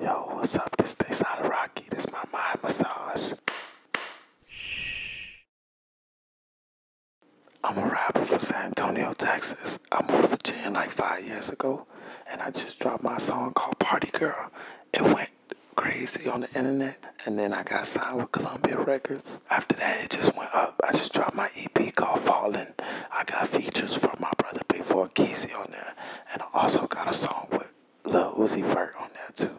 Yo, what's up? This day Sada Rocky. This my mind massage. I'm a rapper from San Antonio, Texas. I moved to Virginia like five years ago, and I just dropped my song called Party Girl. It went crazy on the internet, and then I got signed with Columbia Records. After that, it just went up. I just dropped my EP called Falling. I got features from my brother Big Four Keezy on there, and I also got a song with Lil Uzi Vert on there too.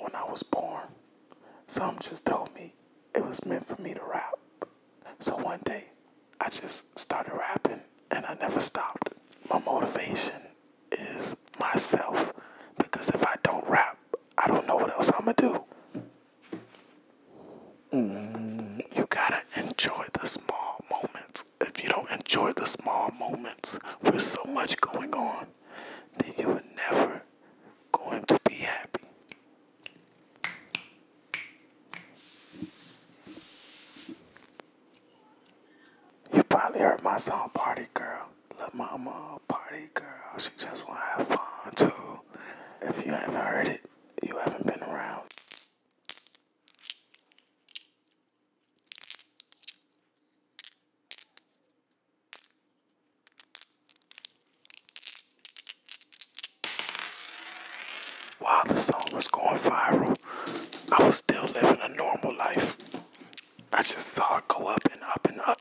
When I was born, some just told me it was meant for me to rap. So one day, I just started rapping and I never stopped. My motivation is myself because if I don't rap, I don't know what else I'm gonna do. Mm-hmm. You gotta enjoy the small moments. If you don't enjoy the small moments with so much going on, then you are never going to be happy. You probably heard my song Party Girl. La Mama, Party Girl. She just wanna have fun too. If you haven't heard it, you haven't been around. While the song was going viral, I was still living a normal life. I just saw it go up and up and up.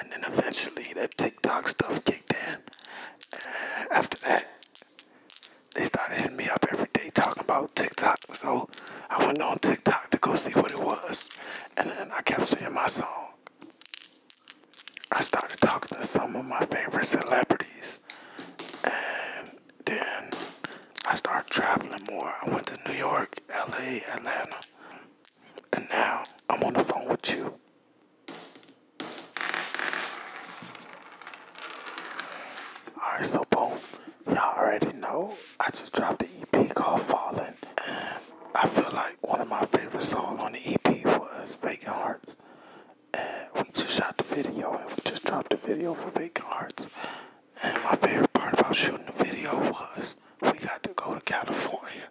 And then eventually that TikTok stuff kicked in. after that, they started hitting me up every day talking about TikTok. So I went on TikTok to go see what it was. And then I kept seeing my song. I started talking to some of my favorite celebrities, and then I started traveling more. I went to New York, LA, Atlanta, and now I'm on the phone with you. Alright, so boom, y'all already know I just dropped the EP called Falling. I feel like one of my favorite songs on the EP was Vacant Hearts. And we just shot the video and we just dropped the video for Vacant Hearts. And my favorite part about shooting the video was we got to go to California.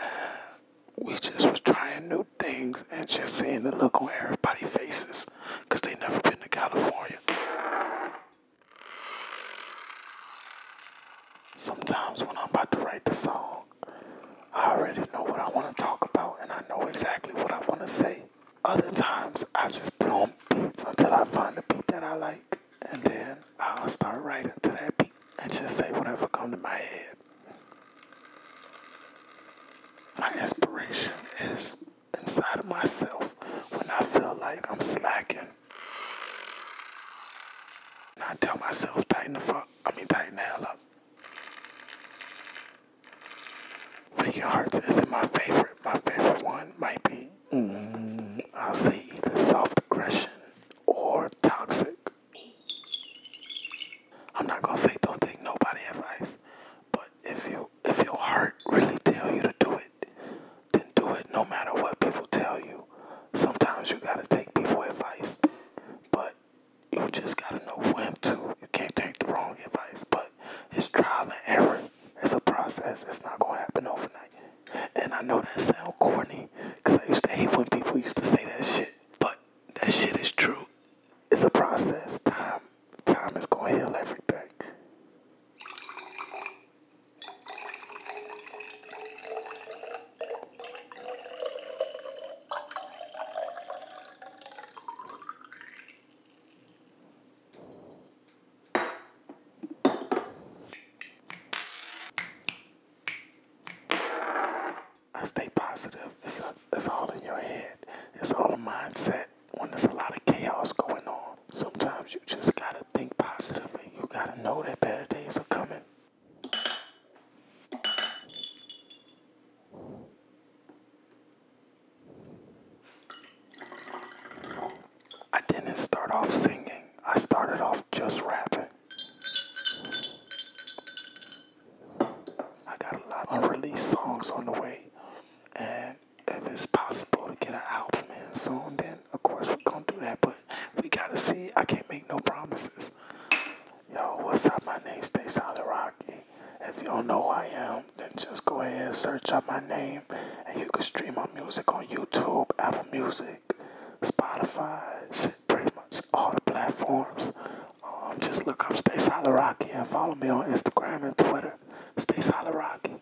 And we just was trying new things and just seeing the look on everybody's faces because they never been to California. Sometimes when I'm about to write the song, I already know what I want to talk about and I know exactly what I want to say. Other times, I just put on beats until I find a beat that I like and then I'll start writing to that beat and just say whatever comes to my head. My inspiration is inside of myself when I feel like I'm slacking. And I tell myself, tighten the fuck I mean, tighten the hell up. Freaking Hearts isn't my favorite. My favorite one might be, mm, I'll say either Soft Aggression or Toxic. I'm not gonna say don't take nobody advice, but if you if your heart really tell you to do it, then do it no matter what people tell you sometimes you gotta take people advice, but you just gotta know when to. You can't take the wrong advice, but it's trial and error. It's a process. It's not gonna happen overnight. And I know that sound corny, cause I used to hate when people used to say that shit. But that shit is true. It's a process. Time, time is gonna heal everything. I stay positive. It's, all in your head. It's all a mindset. When there's a lot of chaos going on, sometimes you just gotta think positive, and you gotta know that better days are coming. I didn't start off singing, I started off just rapping. I got a lot of unreleased songs on the way, and if it's possible to get an album and soon, then of course, we're gonna do that, but we gotta see. I can't make no promises. Yo, what's up? My name Stay Solid Rocky. If you don't know who I am, then just go ahead and search up my name, and you can stream my music on YouTube, Apple Music, Spotify, shit, pretty much all the platforms. Um, just look up Stay Solid Rocky and follow me on Instagram and Twitter. Stay Solid Rocky.